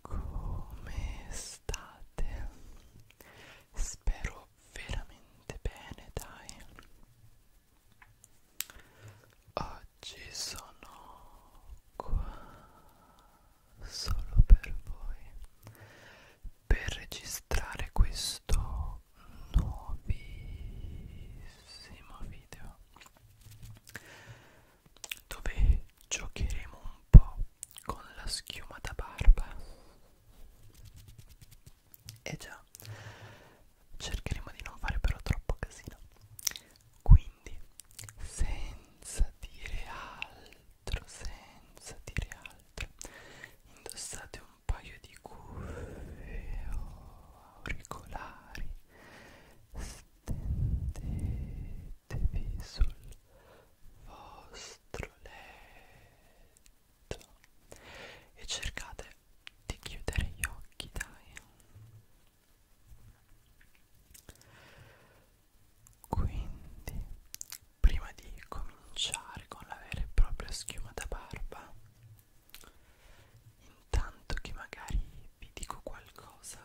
Come state? Spero veramente bene, dai. Oggi sono qua solo per voi per registrare questo nuovissimo video dove giocheremo un po' con la schiuma da barba e eh già cercheremo di non fare però troppo casino quindi senza dire altro senza dire altro indossate un paio di cuffie o auricolari stendete mettevi sul vostro letto e cercate di chiudere gli occhi, dai. Quindi, prima di cominciare con la vera e propria schiuma da barba, intanto che magari vi dico qualcosa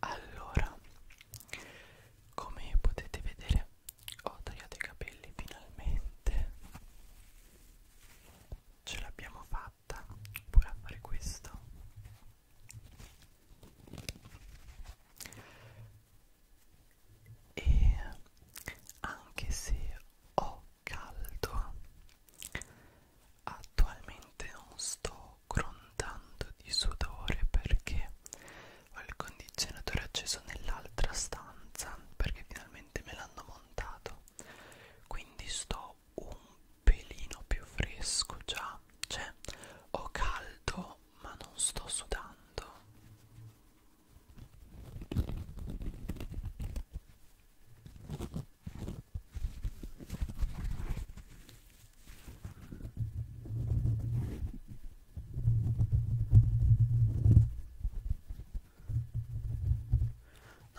Allora, come potete vedere, ho tagliato i capelli finalmente. Ce l'abbiamo fatta pure a fare questo. E anche se ho caldo Attualmente non sto grondando di sudore perché ho il condizionatore acceso nell'altra stanza perché finalmente me l'hanno montato quindi sto un pelino più fresco già cioè ho caldo ma non sto sudando No,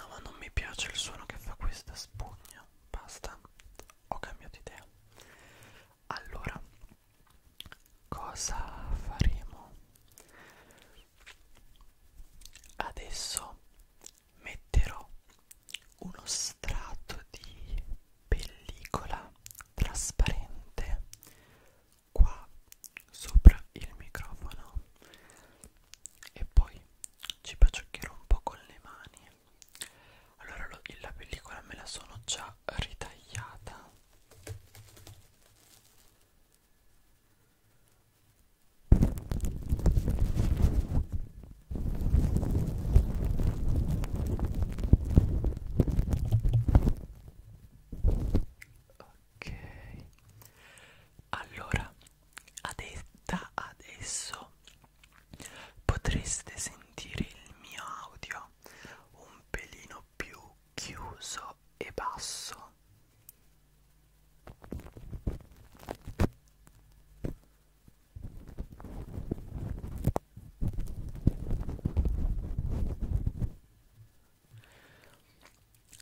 ma non mi piace il suono che fa questa spugna. Basta, ho cambiato idea. Allora, cosa faremo? Adesso metterò uno strato di pellicola trasparente qua sopra il microfono e poi ci bacioccherò un po' con le mani allora lo, la pellicola me la sono già ritagliata Ok, allora ade da adesso potreste sentire il mio audio un pelino più chiuso e basso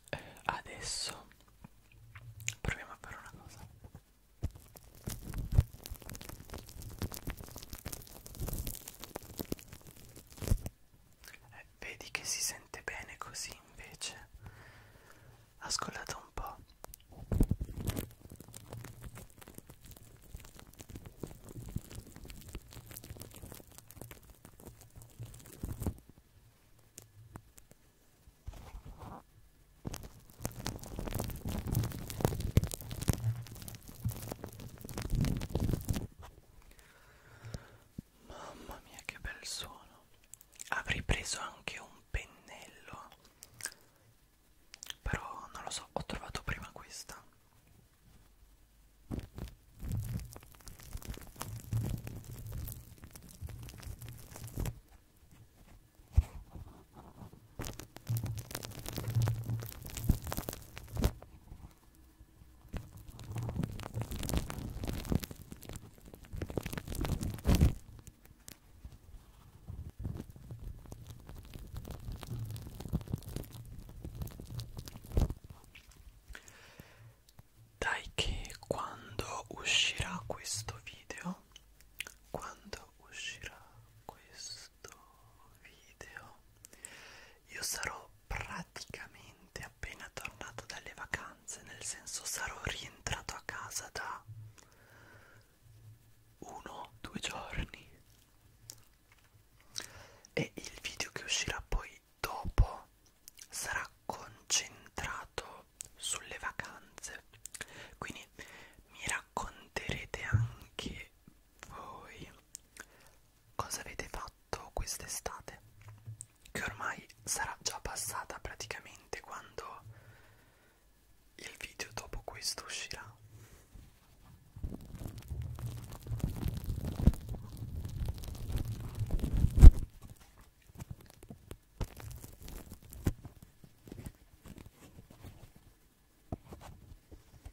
eh, adesso proviamo a fare una cosa eh, Vedi che si sente bene così invece. Ascoltate un po'. Mamma mia che bel suono. Avrei preso anche un pennello. Però non lo so, ho trovato prima questa. Dai che quando uscirà questo video, quando uscirà questo video, io sarò praticamente appena tornato dalle vacanze, nel senso sarò rientrato a casa da uno o due giorni e il video che uscirà poi dopo sarà concentrato sulle vacanze quindi mi racconterete anche voi cosa avete fatto quest'estate che ormai sarà già passata praticamente quando il video dopo questo uscirà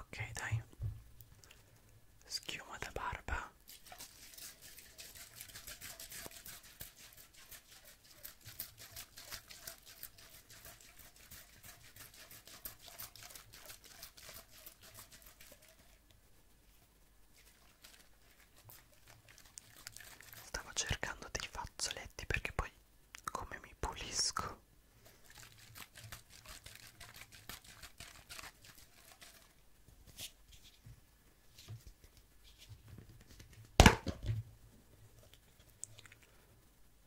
Ok, dai. Schiuma da barba. Stavo cercando dei fazzoletti perché poi come mi pulisco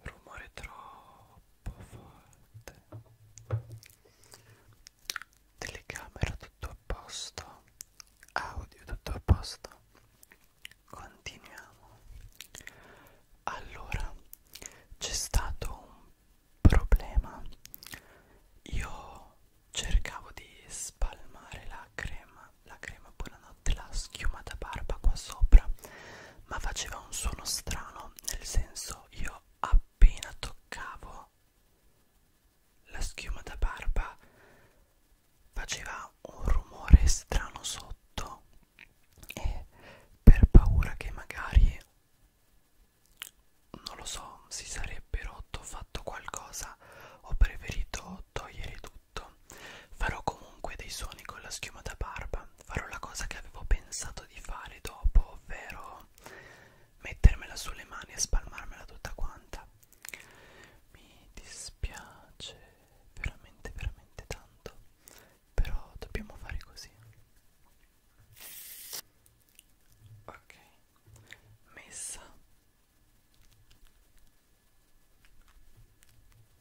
rumore troppo forte telecamera tutto a posto audio tutto a posto continuiamo allora c'è stato un problema io cercavo di spalmare la crema la crema buonanotte la schiuma da barba qua sopra ma faceva un suono strano, nel senso io appena toccavo la schiuma da barba faceva un rumore strano sotto e per paura che magari non lo so si sarebbe rotto fatto qualcosa ho preferito togliere tutto farò comunque dei suoni con la schiuma da barba farò la cosa che avevo pensato di fare dopo, ovvero mettermela sulle mani e spalmarmela tutta quanta. Mi dispiace veramente, veramente tanto, però dobbiamo fare così. Ok, messa.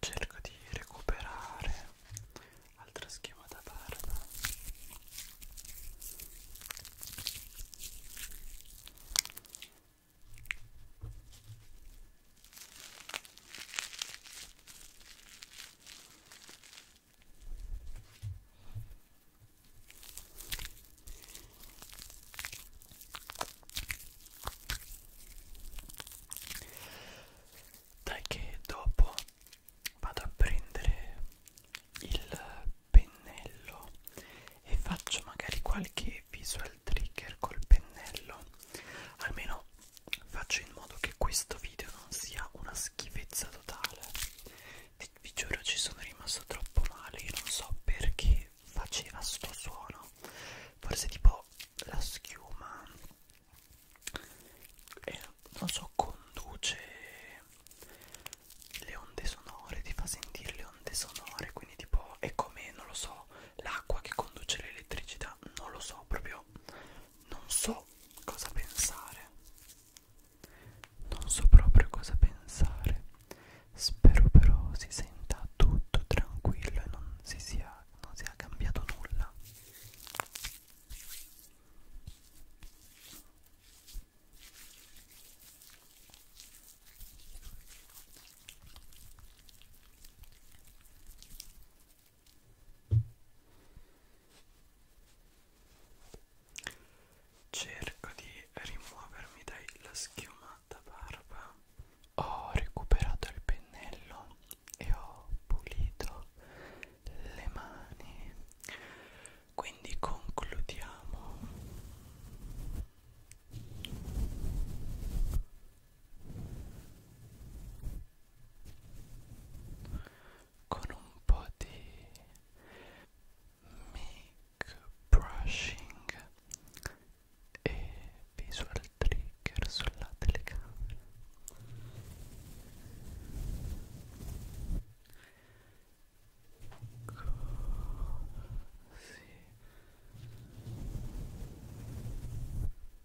cerco di recuperare altra schiuma da barba dai che dopo vado a prendere il pennello e faccio magari qualche visual trigger col pennello almeno faccio in modo che questo video non sia una schifezza totale vi, vi giuro ci sono rimasto troppo male io non so perché faceva sto suono forse tipo la schiuma eh, non so conduce le onde sonore ti fa sentire le onde sonore quindi tipo è come non lo so l'acqua che conduce l'elettricità non lo so proprio non so cosa pensare non so proprio cosa pensare spero però si senta tutto tranquillo e non si sia, non sia cambiato nulla Cerco di rimuovermi dalla schiuma da barba. Ho recuperato il pennello e ho pulito le mani. Quindi concludiamo con un po' di mic brushing e visual trigger sulla telecamera Così.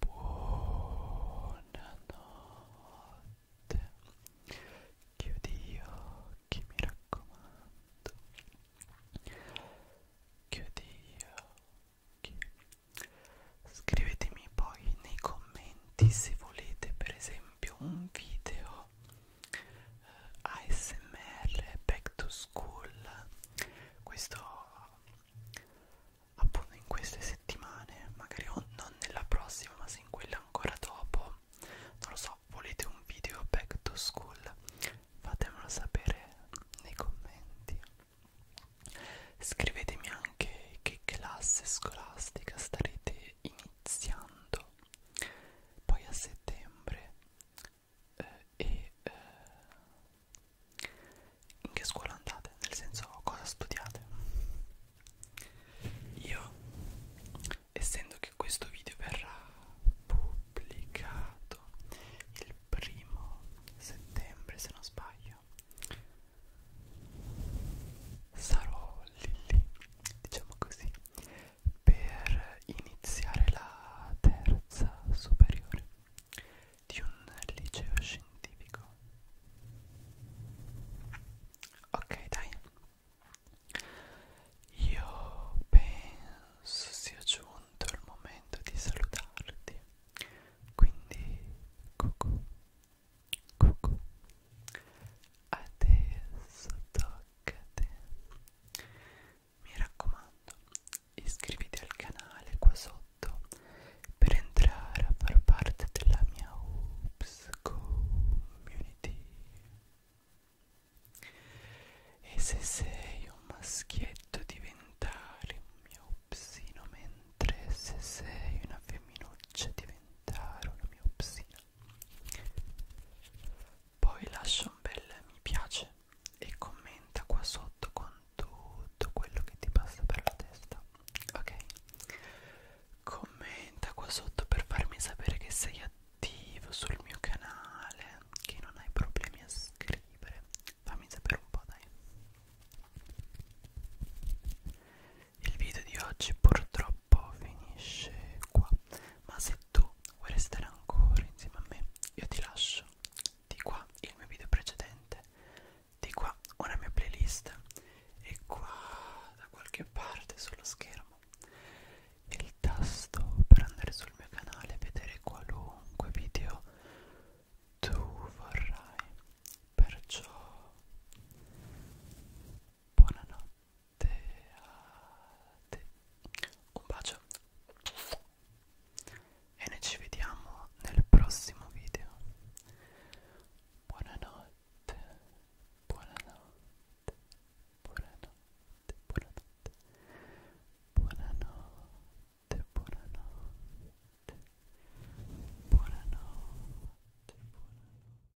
Buonanotte. Chiudi gli occhi, mi raccomando. Chiudi gli occhi. Scrivetemi poi nei commenti se volete, per esempio, un video so ASMR Back to School questo appunto in queste settimane magari non nella prossima ma se in quella ancora dopo non lo so volete un video Back to School fatemelo sapere nei commenti scrivetemi anche che classe scolastica starete iniziando poi a settembre eh, e eh, in che scuola andate, nel senso cosa studiate. Io, essendo che questo video verrà pubblicato il primo settembre, se non sbaglio, sarò lì, lì diciamo così per iniziare la terza superiore di un liceo scientifico. Ok, dai. Io penso sia giunto il momento di salutarti. Quindi, cucù, cucù. Adesso tocca accade mi raccomando iscriviti al canale qua sotto per entrare a far parte della mia Oops Community e se sei un maschietto diventare un mio psino mentre se sei una femminuccia diventare una mia psina poi lascia un bel mi piace e commenta qua sotto con tutto quello che ti passa per la testa, ok? Commenta qua sotto per farmi sapere che sei attivo sul mio canale, che non hai problemi a scrivere. Fammi sapere un po', dai. Il video di oggi purtroppo finisce qua ma se tu vuoi restare ancora insieme a me io ti lascio di qua il mio video precedente di qua una mia playlist e qua da qualche parte sullo schermo il tasto per andare sul mio canale e vedere qualunque video tu vorrai perciò buonanotte te. Un bacio e noi ci vediamo nel prossimo video. Buonanotte, buonanotte, buonanotte, buonanotte, buonanotte, buonanotte, buonanotte. buonanotte.